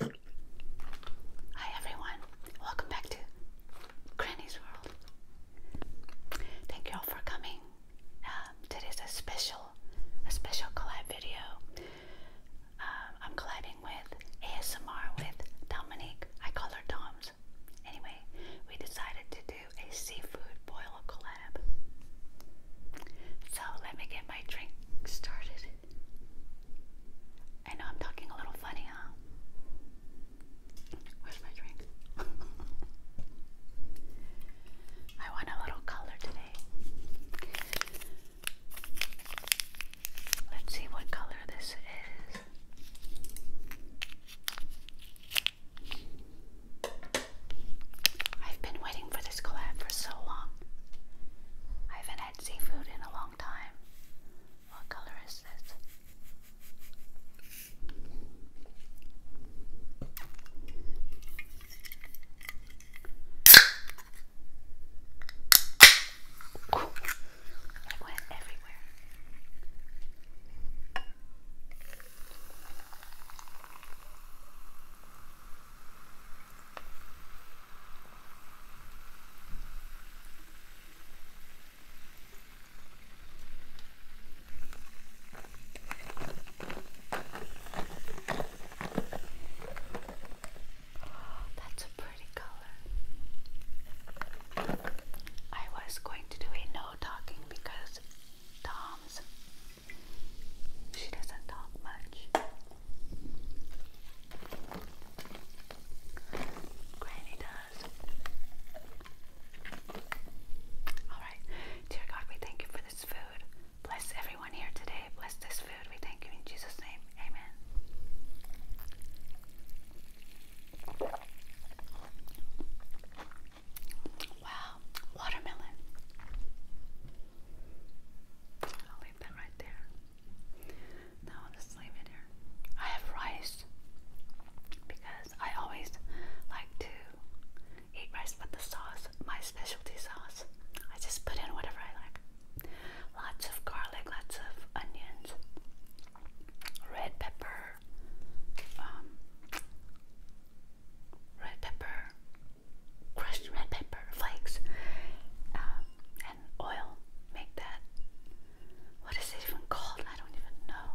Hi everyone, welcome back to Granny's World. Thank you all for coming. Um, today's a special, a special collab video. Um, I'm collabing with ASMR with Dominique. I call her Doms. Anyway, we decided to do a seafood boil collab. So let me get my drink started. I know I'm talking a little funny, huh? Where's my drink? I want a little color today. Let's see what color this is. I've been waiting for this collab for so long had seafood in a long time. What color is this? Ooh, went everywhere. Oh, that's a pretty color. I was going to do a no talking because Tom's she doesn't talk much. Granny does. Alright. Dear God, we thank you for this food. Bless everyone here today. Bless this food. We thank you in Jesus' name. Amen. Wow, watermelon. I'll leave that right there. Now I'll leave it here. I have rice because I always like to eat rice with the sauce, my specialty sauce. I just put in whatever I like. Lots of garlic, lots of onions, red pepper, um, red pepper, crushed red pepper flakes, um, oil make that. What is it even called? I don't even know.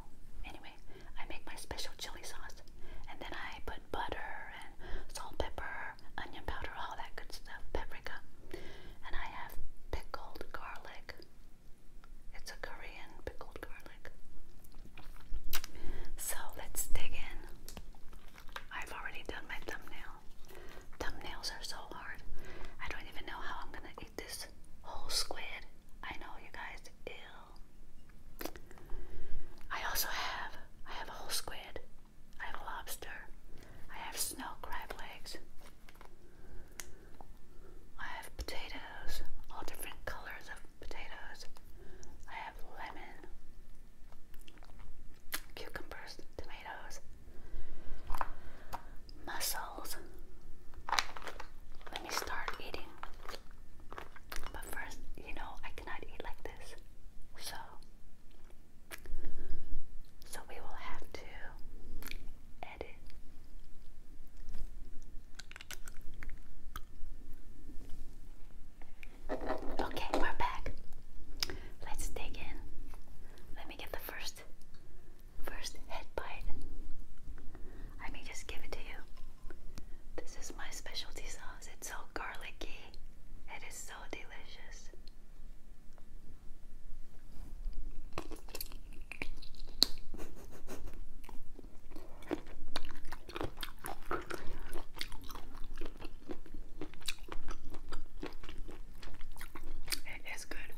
Anyway, I make my special chili sauce and then I put butter and salt, pepper, onion powder, all that good stuff, paprika. And I have pickled garlic. It's a Korean pickled garlic. So let's dig in. I've already done my thumbnail. Thumbnails are so hard. I don't even know how I'm gonna eat this whole squid. I know you guys I also have I have a whole squid. I have a lobster. I have snow crab legs. I have potatoes, all different colors of potatoes. I have lemon, cucumbers, tomatoes, mussels. Let me start eating. But first, you know, I cannot eat like this. So, so we will have to edit. Okay, we're back. Let's dig in. Let me get the first first head bite. I may just give it to you. This is my specialty sauce. It's so garlicky. It is so delicious. It is good.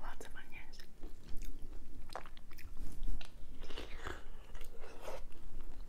Lots of onions.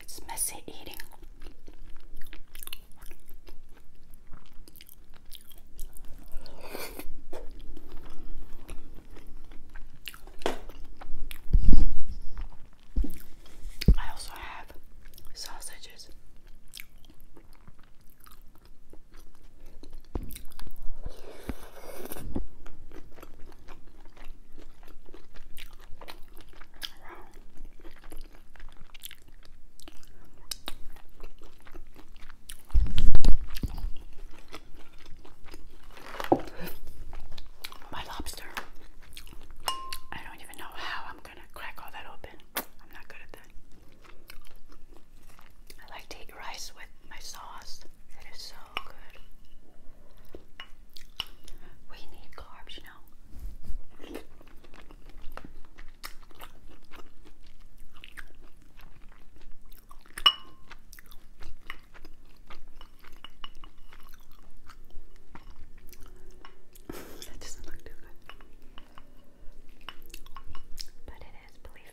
It's messy eating. I also have sausages. My lobster. I don't even know how I'm gonna crack all that open. I'm not good at that. I like to eat rice with my sauce. That is so good. We need carbs, you know. that doesn't look too good. But it is, believe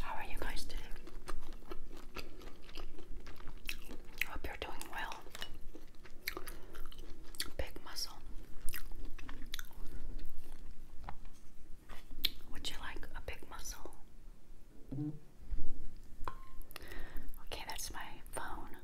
How are you guys today? Hope you're doing well. Big muscle. Would you like a big muscle? Okay, that's my phone.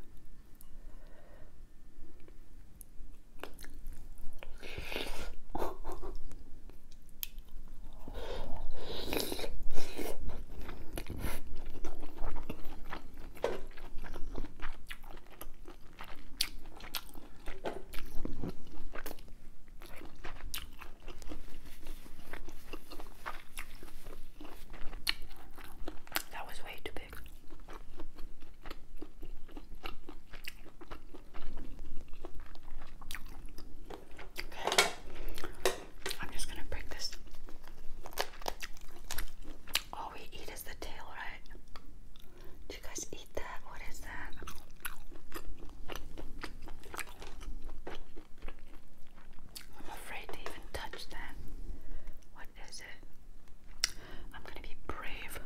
That was way too big. I'm just gonna break this. All we eat is the tail, right? Do you guys eat that? What is that? I'm afraid to even touch that. What is it? I'm gonna be brave.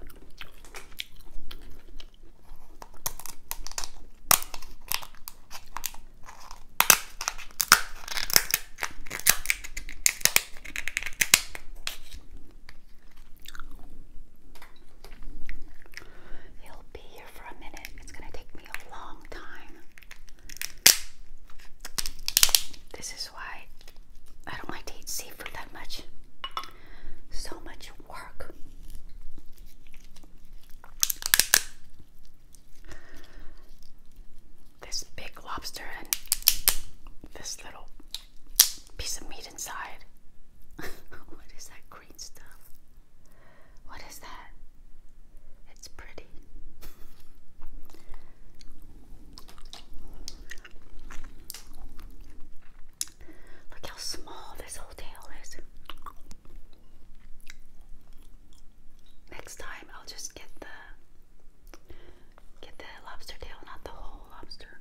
He'll be here for a minute. It's going to take me a long time. This is why I don't like to eat seafood that much. So much work. This big lobster and this little piece of meat inside. what is that green stuff? What is that? It's pretty. Look how small this whole tail is. Next time I'll just get the get the lobster tail, not the whole lobster.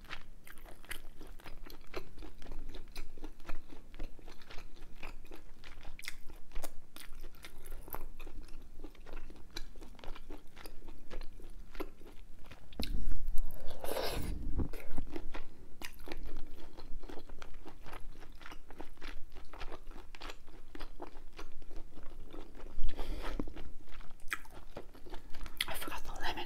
I forgot the lemon.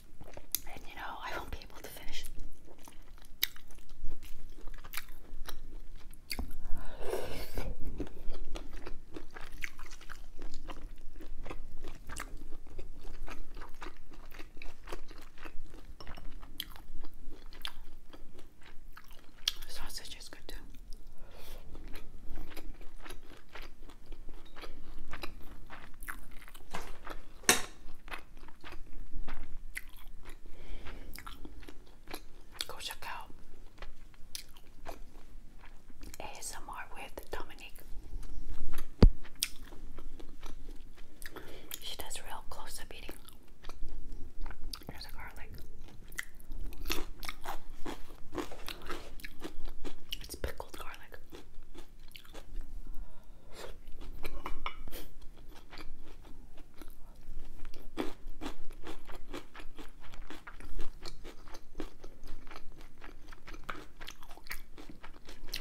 And you know, I won't be able to finish Sausage is good too. Go check out ASMR with Dominique. She does real close up eating. There's a garlic. It's pickled garlic.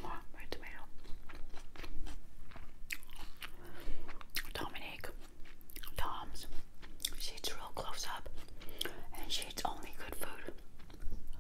Oh, my tomato. Dominique, Tom's, she eats real close up and she eats only good food.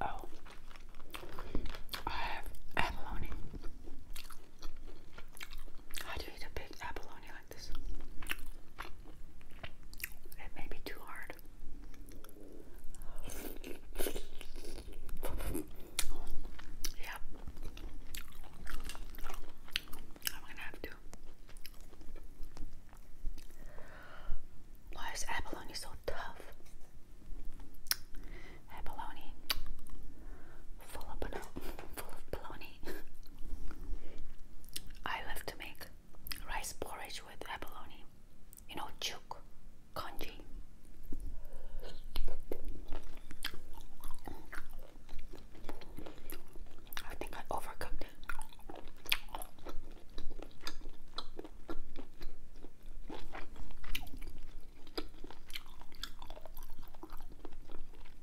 Oh, I have abalone. How do you eat a big abalone it may be too hard. Yep. I'm gonna have to. Why is abalone so tough? Abalone full of baloney, full of baloney. I love to make rice porridge with abalone. You know, chuk, congee. I think I overcooked it.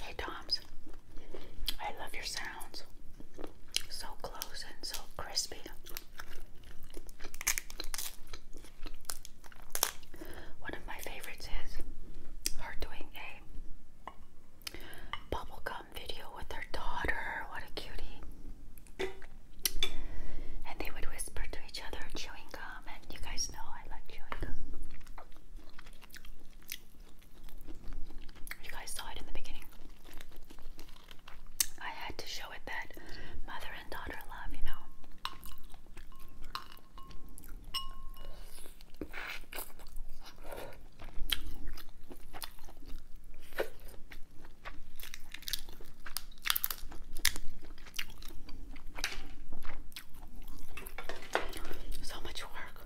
Hey, Toms. I love your sounds. So close and so crispy. One of my favorites is her doing a bubblegum video with her daughter. What a cutie. And they would whisper to each other chewing gum, and you guys know I like chewing gum. You guys saw it in the beginning. I had to show it that mother and daughter love, you know. So much work.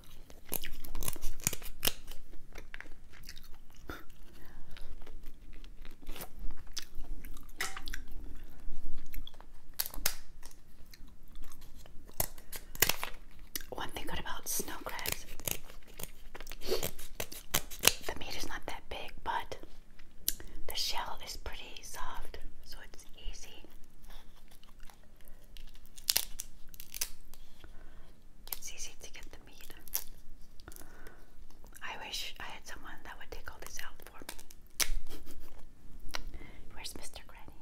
One thing good about snow the meat is not that big, but the shell is pretty soft, so it's easy. It's easy to get the meat. I wish I had someone that would take all this out for me. Where's Mr. Granny?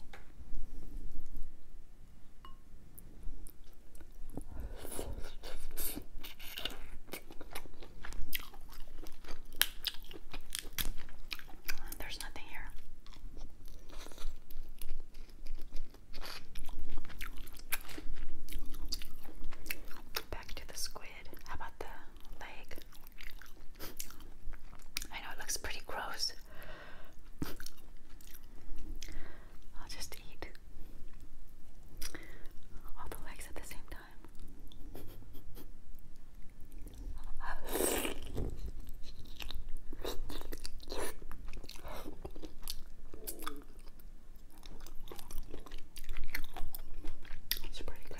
There's nothing here. Back to the squid. How about the leg? I know it looks pretty gross. I'll just eat all the legs at the same time. It's pretty good.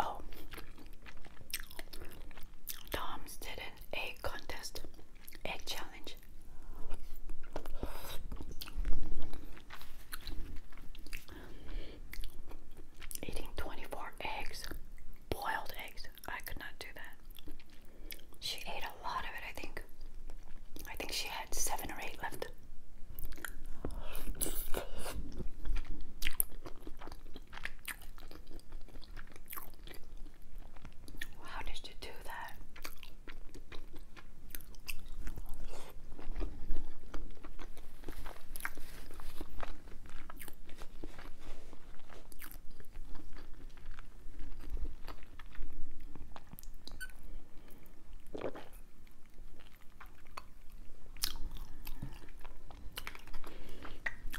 Oh, Tom's did an egg contest, egg challenge. Eating 24 eggs, boiled eggs. I could not do that. She ate a lot of it, I think. I think she had seven or eight left. How did you do that?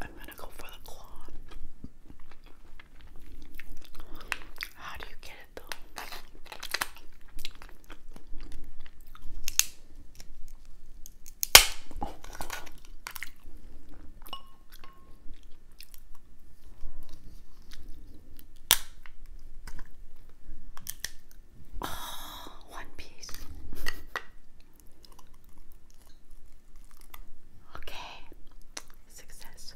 I'm gonna go for the claw. How do you get it though? Oh, one piece. okay, success.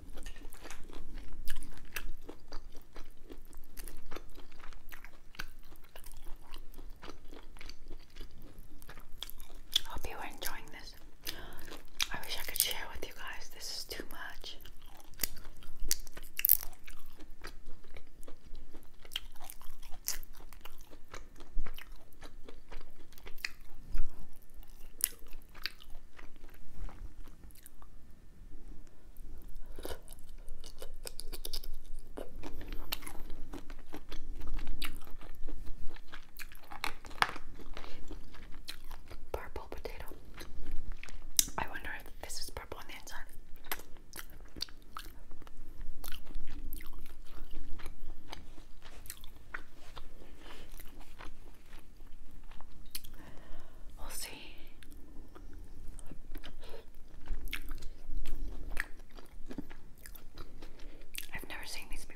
Hope you are enjoying this. I wish I could share with you guys. This is too much. Purple potato. I wonder if this is purple on the inside. We'll see. I've never seen these before.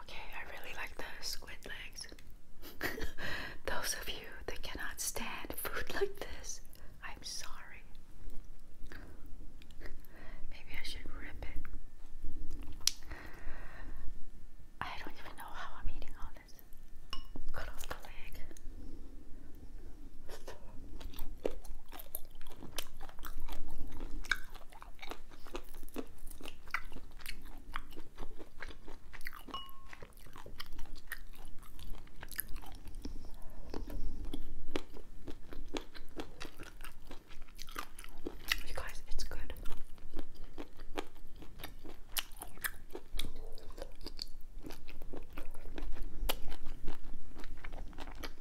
Okay, I really like the squid legs. Those of you that cannot stand food like this, I'm sorry. Maybe I should rip it. I don't even know how I'm eating all this. Cut off the leg. You guys, it's good.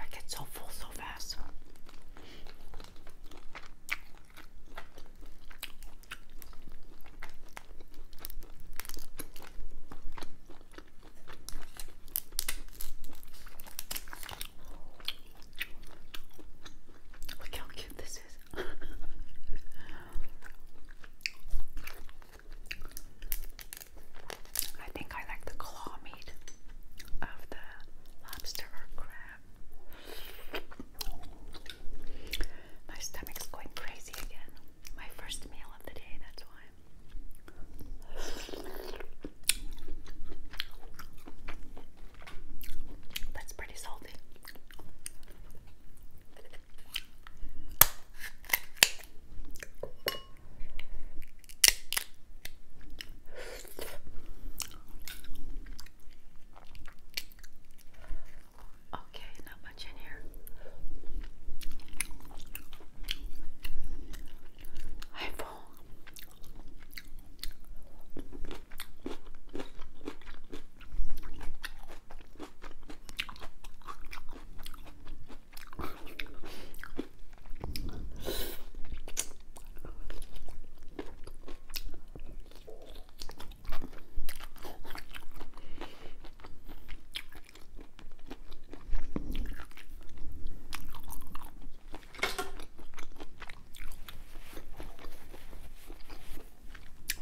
I get so full so fast. Look how cute this is. I think I like the claw meat of the lobster or crab. My stomach's going crazy again. My first meal of the day, that's why. That's pretty salty. Okay, not much in here. I'm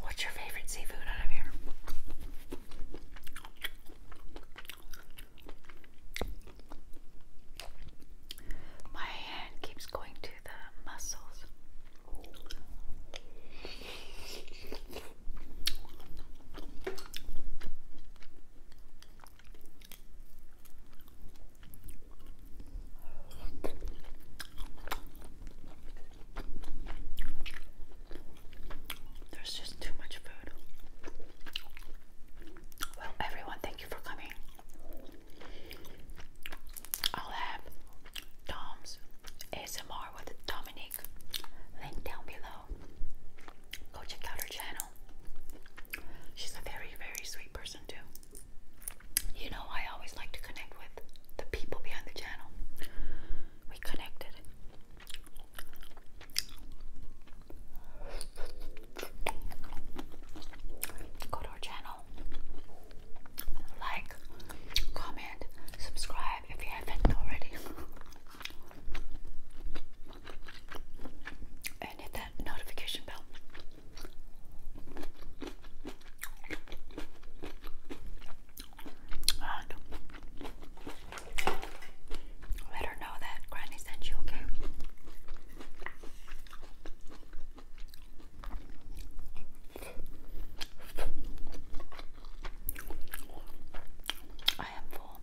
What's your favorite seafood out of here? My hand keeps going to the muscles. There's just too much food. Well, everyone, thank you for coming. I'll have Tom's ASMR with Dominic link down below. Go check out her channel. She's a very, very sweet person, too. You know, I always like to connect with the people behind the channel. We connected. Go to our channel, like, comment, subscribe if you haven't already. And hit that notification bell. And let her know that Granny sent you, okay? I am full.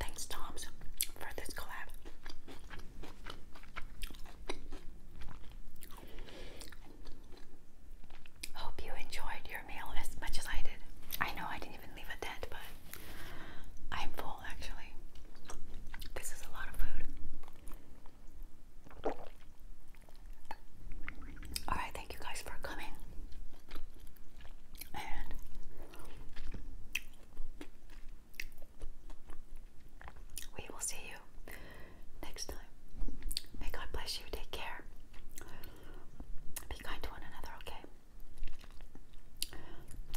Thanks, Tom's, for this collab. Hope you enjoyed your meal as much as I did. I know I didn't even leave a dent, but I'm full actually. This is a lot of food. Alright, thank you guys for coming. And we will see you next time. May God bless you. Take care. Be kind to one another, okay?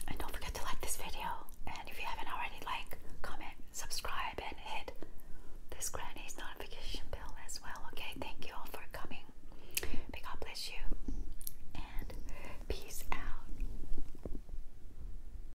And don't forget to like this video. And if you haven't already, like, comment, subscribe, and hit this granny's notification bell as well, okay? Thank you all for coming. May God bless you. And peace out.